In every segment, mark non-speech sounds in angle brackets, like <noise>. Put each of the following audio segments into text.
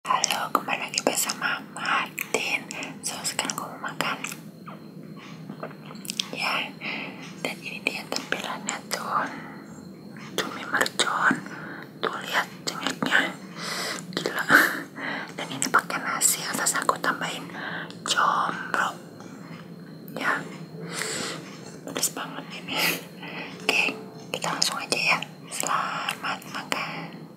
Halo, kembali lagi bersama Martin. So, sekarang gue mau makan. Ya, dan ini dia tampilannya tuh. Cumi mercon. Tuh, lihat cengeknya. Gila. Dan ini pakai nasi, atas aku tambahin combro. Ya, pedes banget ini. Oke, kita langsung aja ya. Selamat makan.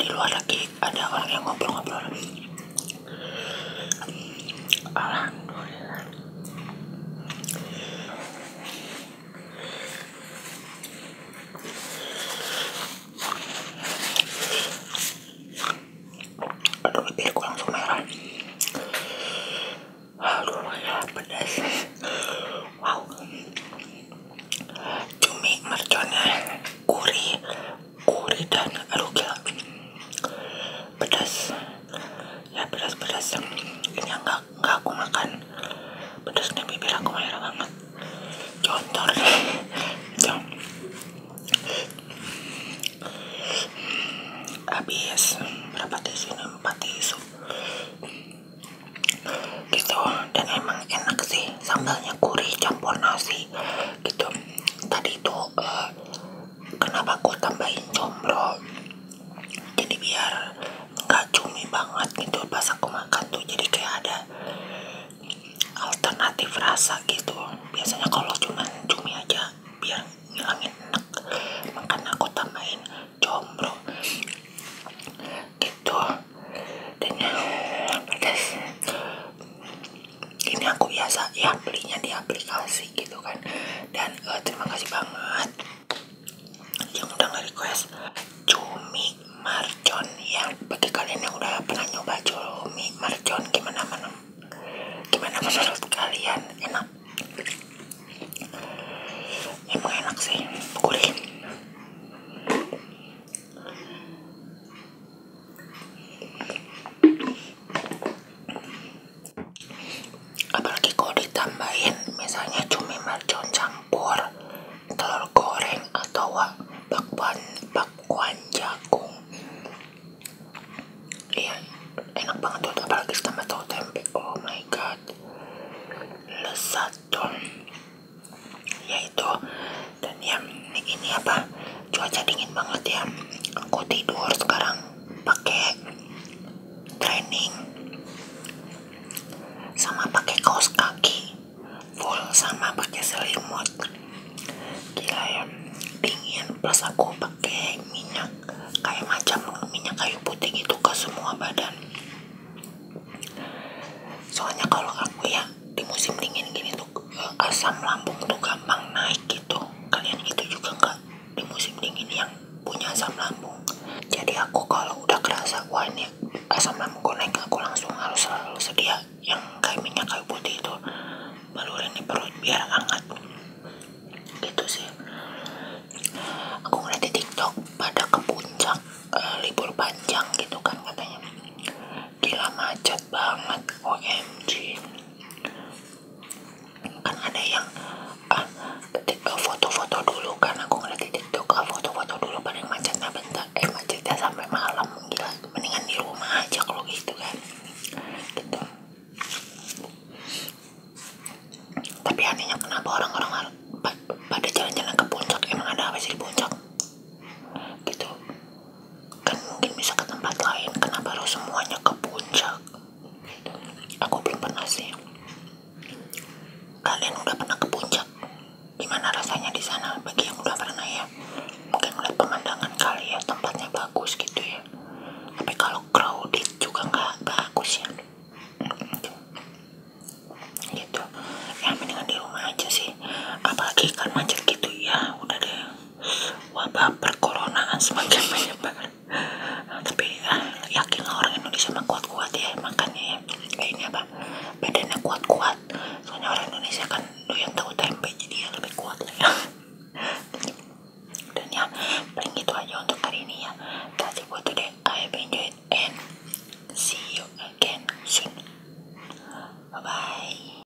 di luar lagi ada orang yang ngobrol-ngobrol alhamdulillah aduh langsung merah aduh ya pedas wow cumi merconnya kuri dan aduh pedas ya pedas-pedas yang ini yang aku makan pedasnya bibir aku merah banget contoh <laughs> habis berapa tisu ini empat tisu gitu dan emang enak sih sambalnya kuri campur nasi gitu tadi tuh eh, uh, kenapa gue tambahin combro jadi biar nggak cumi banget gitu pas aku makan tuh jadi kayak ada alternatif rasa gitu biasanya kalau cuman cumi aja biar ngilangin enak makanya aku tambahin combro gitu dan yang pedas ini aku biasa ya belinya di aplikasi gitu kan dan uh, terima kasih banget yang udah nge-request cumi marcon ya bagi kalian yang udah pernah nyoba cumi marcon gimana mana gimana menurut kalian enak emang enak sih gurih apalagi kalau ditambahin misalnya cumi mercon campur telur goreng atau bakwan bakwan jagung iya enak banget tuh apalagi tambah tau tempe oh my god lesat dong yaitu dan ya ini apa cuaca dingin banget ya aku tidur sekarang pakai training sama pakai kaos kaki full sama pakai selimut gila ya dingin plus aku pakai minyak kayak macam minyak kayu putih gitu ke semua badan soalnya kalau aku ya di musim dingin gini tuh asam lambung tuh gampang naik gitu kalian gitu juga nggak di musim dingin yang punya asam lambung jadi aku kalau udah kerasa wah asam lambung gue naik aku langsung harus selalu sedia yang kayak minyak kayu putih itu balurin di perut biar hangat gitu sih aku ngeliat di tiktok pada ke puncak eh, libur panjang gitu kan katanya gila macet banget OMG kan ada yang ah, foto-foto dulu kan aku ngeliat di tiktok ah, foto-foto dulu paling macetnya bentar eh macetnya sampai malam gila mendingan di rumah aja kalau gitu kan gitu tapi anehnya kenapa orang-orang pada jalan-jalan ke puncak emang ada apa sih di puncak gitu kan mungkin bisa ke tempat lain kenapa harus semuanya ke puncak aku belum pernah sih kalian udah pernah ke puncak gimana rasanya di sana bagi yang udah pernah ya mungkin udah pemandangan kali ya tempatnya bagus gitu ya tapi kalau crowded juga nggak bagus ya gitu ya mendingan di rumah aja sih apalagi kan macet gitu ya udah deh wabah perkoronaan semakin menyebar banget tapi eh, yakin orang Indonesia mah kuat-kuat ya makannya ya eh, ini apa badannya kuat-kuat soalnya orang Indonesia kan doyan tahu tempe jadi ya lebih kuat lah ya dan ya paling itu aja untuk hari ini ya that's it for today I have enjoyed and see you again soon bye bye